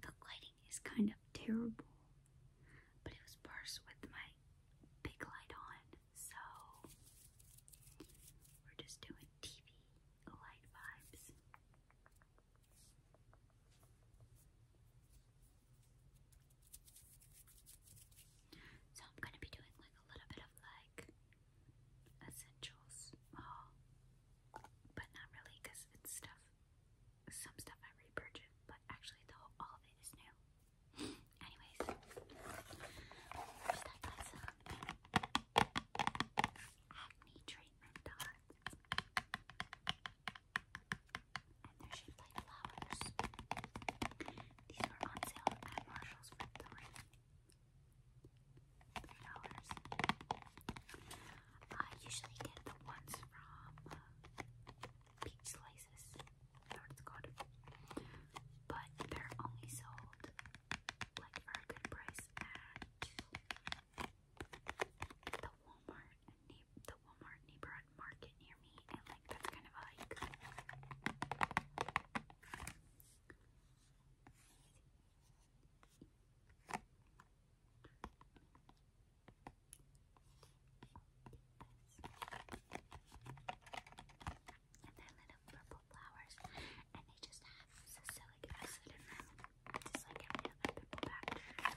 The lighting is kind of terrible, but it was worse with my big light on, so we're just doing TV light vibes. So I'm gonna be doing like a little bit of like essentials oh, but not really it's stuff, some stuff I repurchased, but actually the whole, all of it is new. Anyways, first I got flowers. These were on sale at Marshall's for three three dollars. I usually get the ones from uh, Peach Slices, or it's called, but they're only sold like for a good price at the Walmart, the Walmart neighborhood one market near me, and like that's kind of hike. And they little purple flowers, and they just have salicylic acid in them, just like every other purple pack.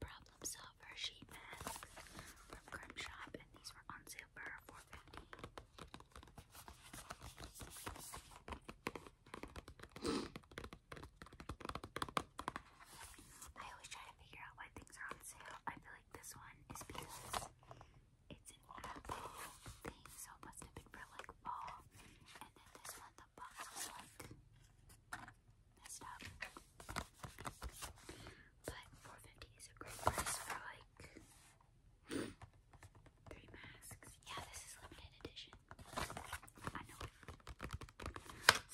Problem solver sheet mask from Crumb Shop, and these were on sale for four fifty. I always try to figure out why things are on sale. I feel like this one is because it's an apple thing, so must have been for like fall. And then this one that the But four fifty is a great price for like three masks. Yeah, this is limited edition.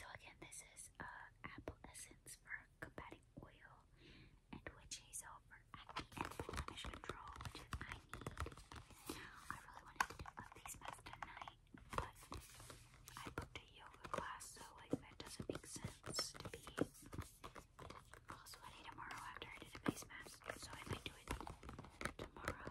So again, this is uh, apple essence for combating oil and witch hazel for acne and blemish control, I need. I really wanted to do a face mask tonight, but I booked a yoga class, so like that doesn't make sense to be all sweaty tomorrow after I did a face mask. So I might do it tomorrow.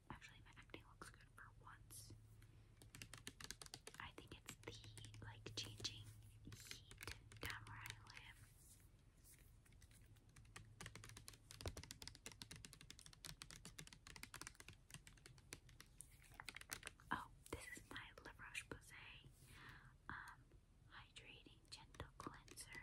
actually my acne looks good for once. I think it's the like changing heat down where Oh, this is my La Roche Posay um, hydrating gentle cleanser.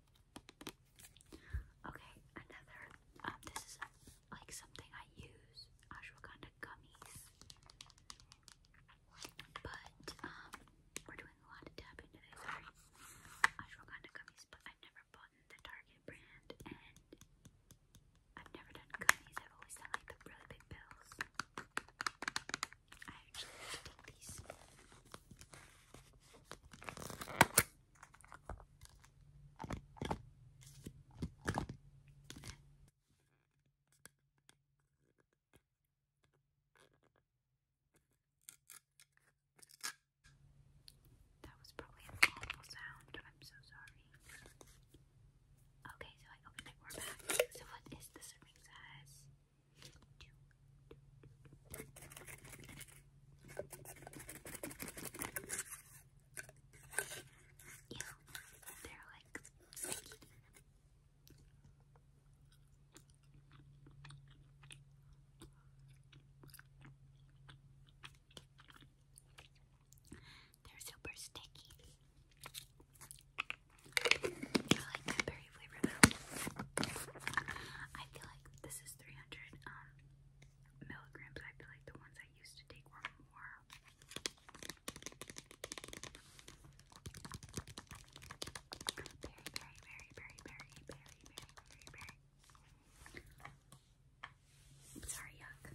Okay, another. Um, this is like something I use ashwagandha gummies, but um, we're doing a lot to tap into Sorry, ashwagandha gummies, but I've never bought the Target brand, and I've never done gummies. I've always done like the really big pills. I actually take these. That was probably an awful sound. I'm so sorry. Okay, so I opened it. We're back. So what is the serving size? Yeah, they're like sticky. They're super sticky. I like pepper cherry flavor I feel like this is 300 um, milligrams. I feel like the ones I used to take were more. Berry, berry, berry, berry, berry, berry, berry, berry, Sorry, yuck.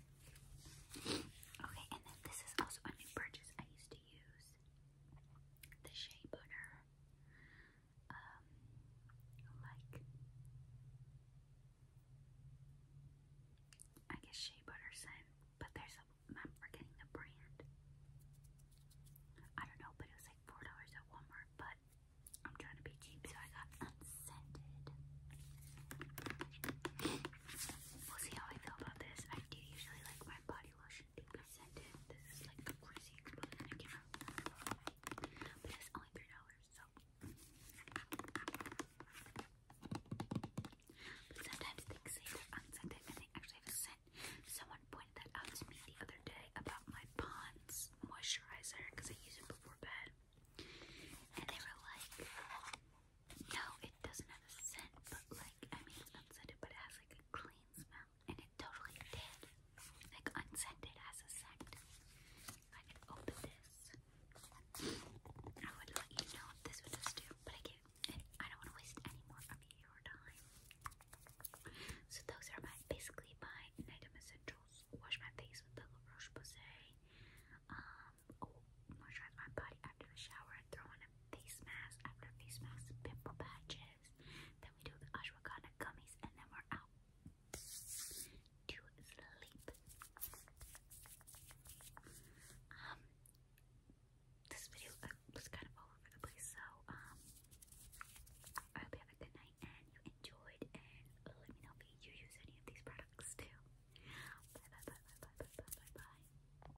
Okay, and then this is also a new purchase. I used to use the shea butter um, like I guess Shea Butterson, but there's a I'm forgetting the brand. I don't know, but it was like four dollars at Walmart. But I'm trying to be cheap, so I got unscented. We'll see how I feel about this. I do usually like my body lotion should be presented. This is like crazy expensive. I can But it's only $3, so. sometimes things say they unscented and they actually have a scent. Someone pointed that out to me the other day about my Pond's moisturizer because I use it before bed. And they were like, no, it doesn't have a scent, but like, I mean, it's unscented, but it has like a clean smell and it totally did. Like unscented as a scent. If I could open this, I would let you know if this would just do, but I can't. I don't want to waste any more of your time. So those are my basically my nighttime essentials. Wash my face with the La Roche Posay. Um, oh, my body after the shower and throw on face mask after face mask, pimple patches. Then we do the ashwagandha gummies, and then we're out to sleep. Um, this video uh, was kind of over the place, so um, I hope you have a good night and you enjoyed. And let me know if you use any of these products too. bye bye bye bye bye bye bye. bye.